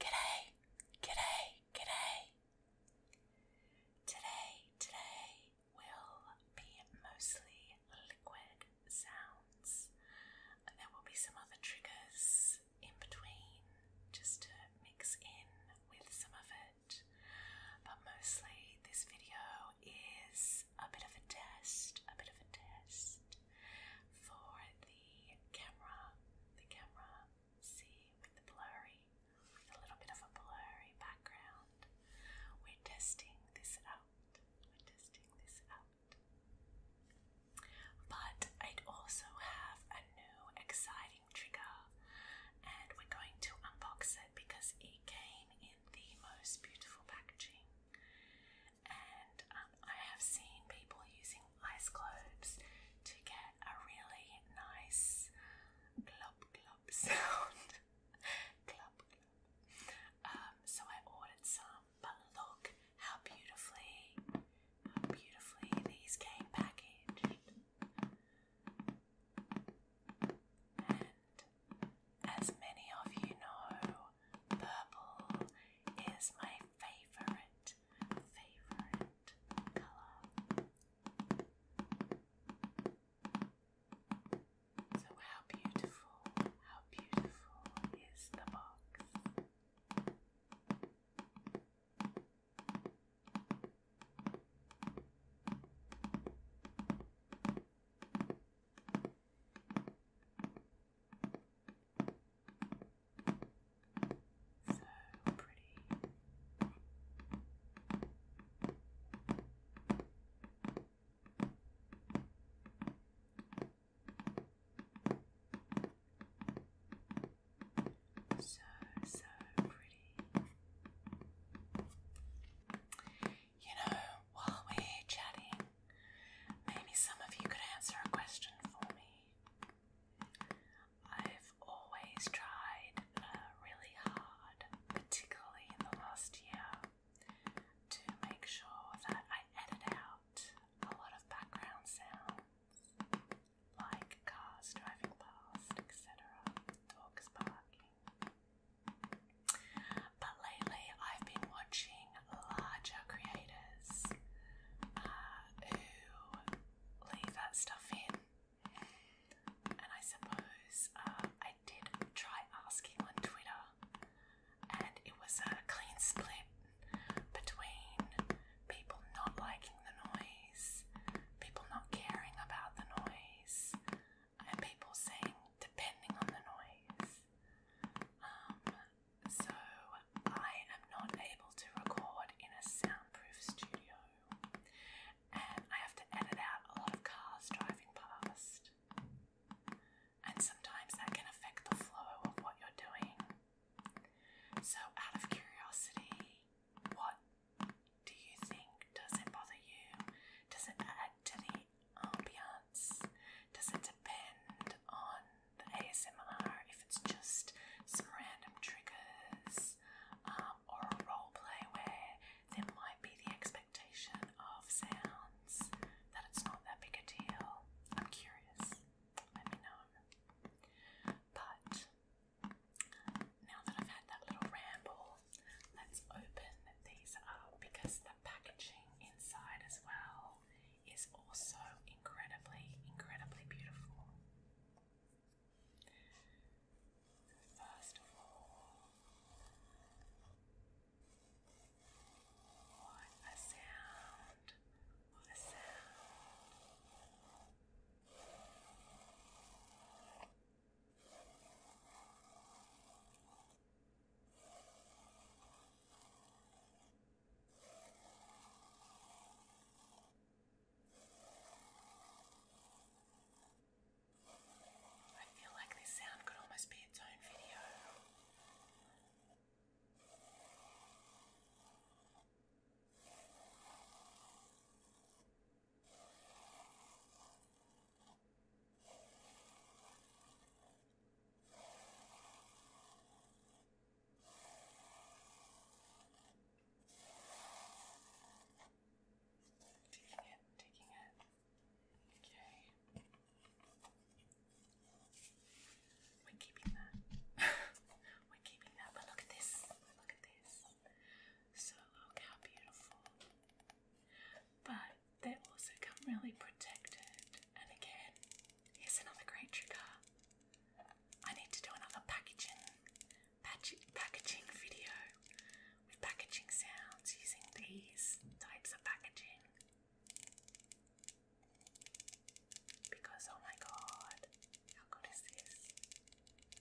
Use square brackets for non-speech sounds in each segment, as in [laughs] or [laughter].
G'day, g'day, g'day. Today, today will be mostly liquid sounds. And there will be some other triggers in between just to mix in with some of it. But mostly, this video is a bit of a test, a bit of a test for the camera. The camera, see, with the blurry, with a little bit of a blurry background. We're testing this out. We're testing this out. But I'd also have a new exciting trigger, and we're going to unbox it because it came the most beautiful packaging. And um, I have seen people using ice globes to get a really nice glop glop sound. [laughs] glop glop. Um, so I ordered some, but look how beautifully, how beautifully these came packaged as many of you know, purple is my favorite, favorite color. So, how beautiful, how beautiful is the box? So pretty. So, so pretty pretty. You know, while we're chatting, maybe some of you could answer a question for me. I've always tried uh, really hard, particularly in the last year, to make sure that I edit out a lot of background sounds like cars driving past, etc., dogs barking, but lately, I've been watching larger creators uh, who leave that stuff in. And I suppose uh, I did try asking on Twitter, and it was a clean split between people not liking the noise, people not caring about the noise and people sing depending on the noise. Um, so I am not able to record in a soundproof studio and I have to edit out a lot of cars driving past. And sometimes that can affect the flow of what you're doing. So, out of curiosity, what do you think? Does it bother you? Does it add to the ambiance? Does it depend on the ASMR if it's just some random triggers um, or a roleplay where there might be the expectation of sounds that it's not that big a deal? I'm curious. Let me know. But now that I've had that little ramble, let's open these up because the packaging inside as well is also incredibly, incredibly beautiful. First of all, what a sound! What a sound! I feel like this sound could almost be its own video. Taking it, taking it. Okay. We're keeping that. [laughs] We're keeping that, but look at this. Look at this. So look how beautiful. But they also come really protected. And again, here's another great trigger. I need to do another packaging, packaging video with packaging sounds using these types of packaging. Because oh my god, how good is this?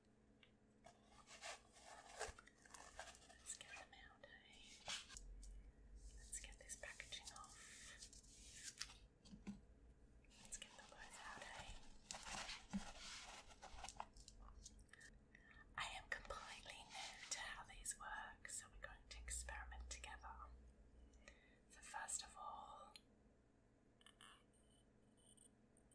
Let's get them out, eh? Let's get this packaging off. Let's get them both out, eh? I am completely new to how these work, so we're going to experiment together. So, first of all,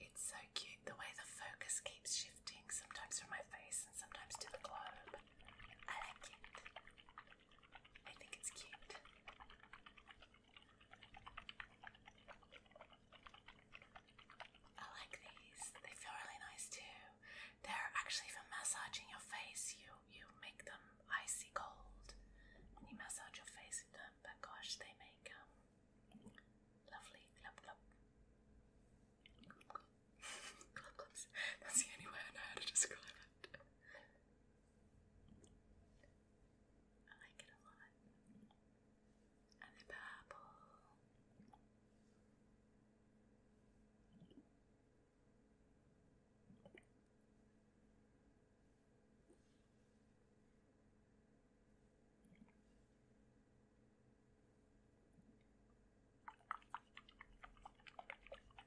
It's so cute the way the focus keeps shifting, sometimes from my face and sometimes to the globe. I like it. I think it's cute. I like these. They feel really nice too. They're actually for massaging your face. You you make them icy cold, when you massage your face with them. But gosh, they make um lovely glub glub. Glub glub. That's the only way I know how to describe it. I like it a lot. And the purple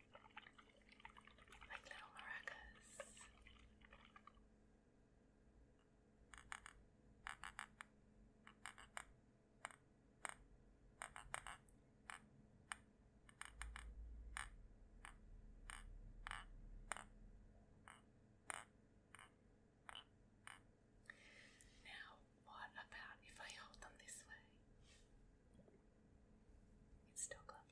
like little maracas. Now, what about if I hold them this way? It's still glove.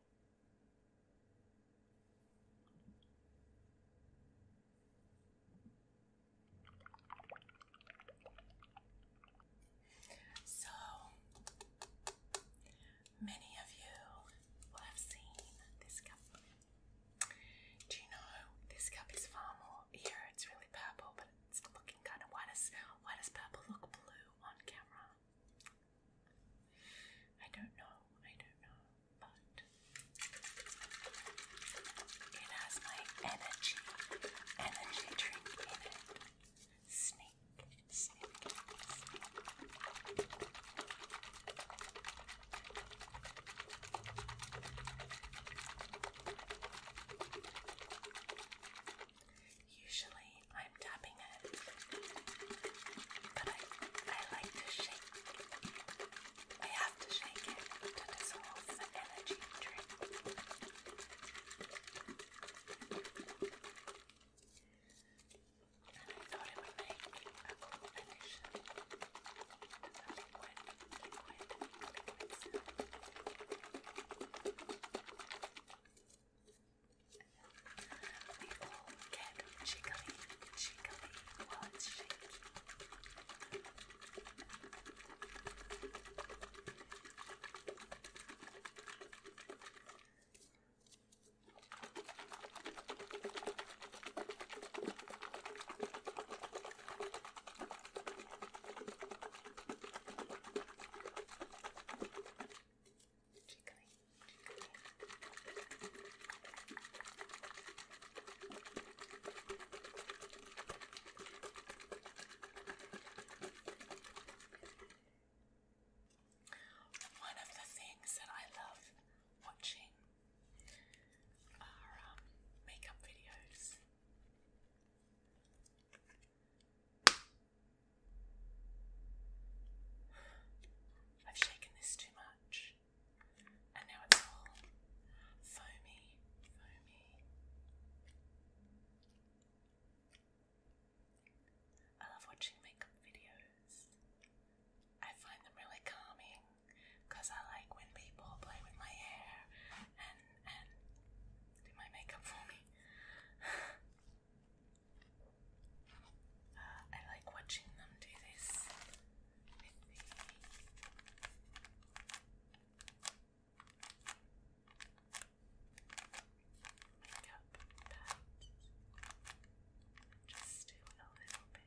So, many of you will have seen this cup. Do you know this cup is far more here? It's really purple, but it's looking kind of why does why does purple look blue on camera? I don't know, I don't know, but it has my energy, energy drink in it. Sneak, sneak, sneak. Usually I'm tapping it. But I, I like to shake. I have to shake it to dissolve the energy drink. And I thought it would make a cool addition. We all get jiggly, jiggly while Jiggly. One of the things that I love watching are um, makeup videos. I've shaken this too much, and now it's all foamy, foamy. I love watching makeup videos. I find them really calming because I like when people play with my hair and do my makeup for me. [sighs] Uh, I like watching them do this with the makeup Just do a little bit.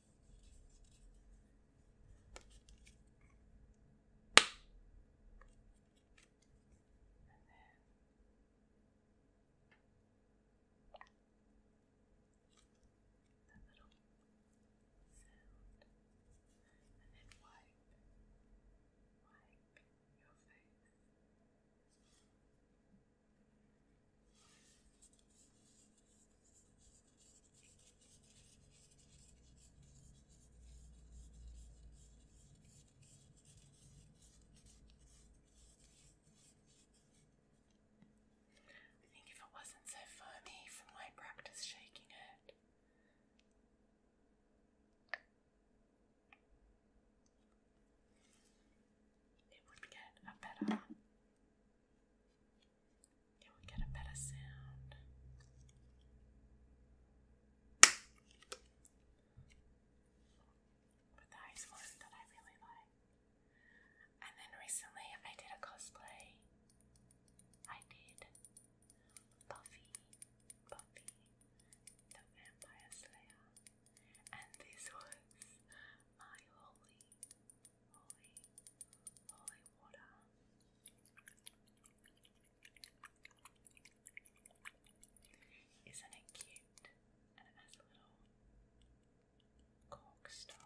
And then little sound, and then wipe, wipe your face. I think if it wasn't so funny from my practice shaking it. It would get a better it would get a better sound. But that is one that I really like. And then recently I did a cosplay. I did Buffy, Buffy, the Vampire Slayer. And this was my holy holy, water. Isn't it cute? And it has a little cork stop.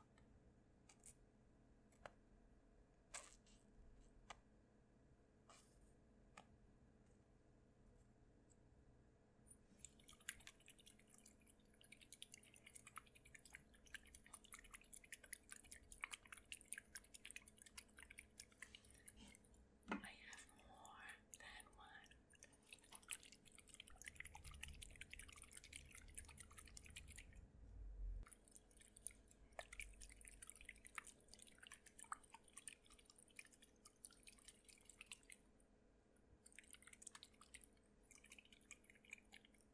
I have more than one.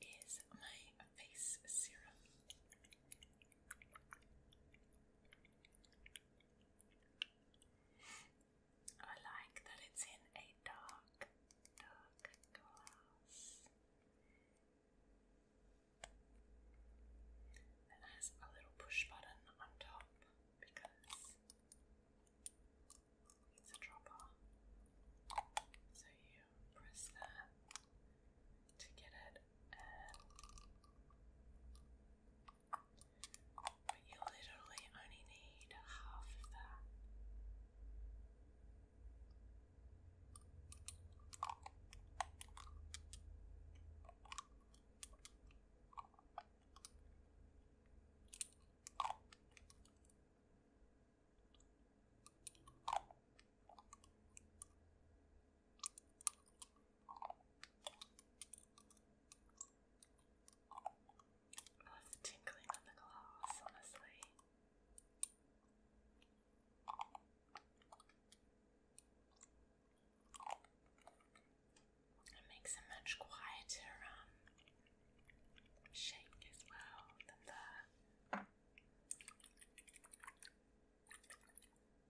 This is my face serum. I like that it's in a dark, dark glass. It has a little push button on top because it's a dropper. So you press that to get it but you literally only need half of that. Love the on the glass, honestly. It makes a much quieter um, shake as well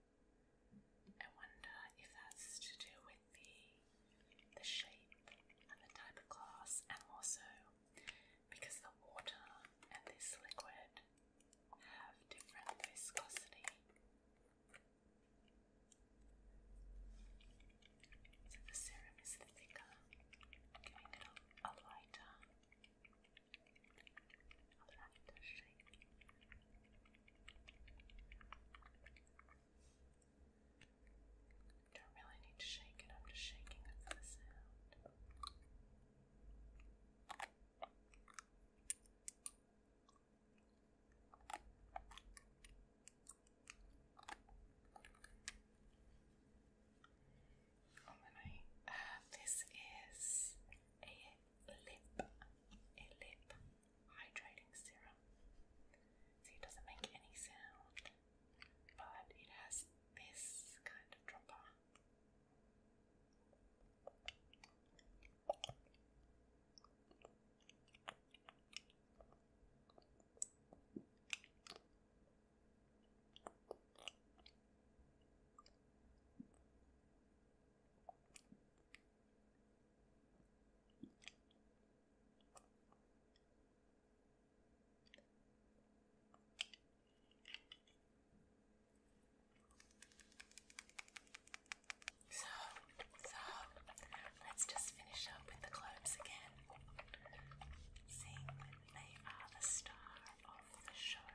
I wonder if that's to do with the the shape and the type of glass, and also because the water and this liquid have different viscosity. So the serum is thicker, giving it a, lighter don't really need to shake it, I'm just shaking it for the sound. And then I, this is a lip, a lip hydrating serum. See, it doesn't make any sound, but it has this kind of dropper. So, so let's just finish up with the globes again. Seeing they are the star of the show.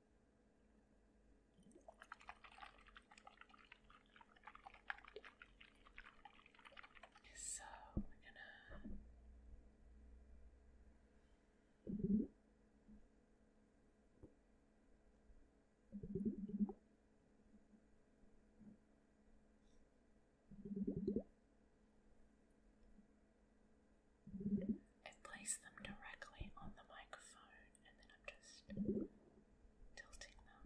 So we're gonna I place them directly on the microphone and then I'm just tilting them.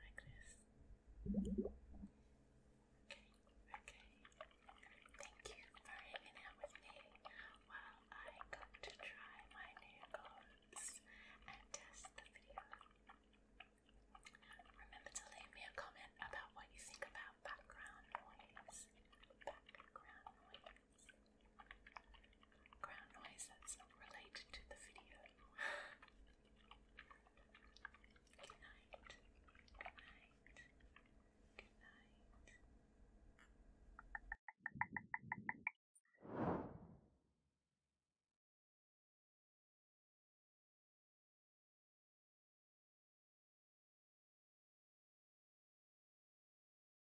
like this. Okay, okay. Thank you for hanging out with me while I go to try my new goals and test the video. Remember to leave me a comment about what you think about background noise. Background noise. Ground noise that's not related to the video. Good night. Good night. Good night.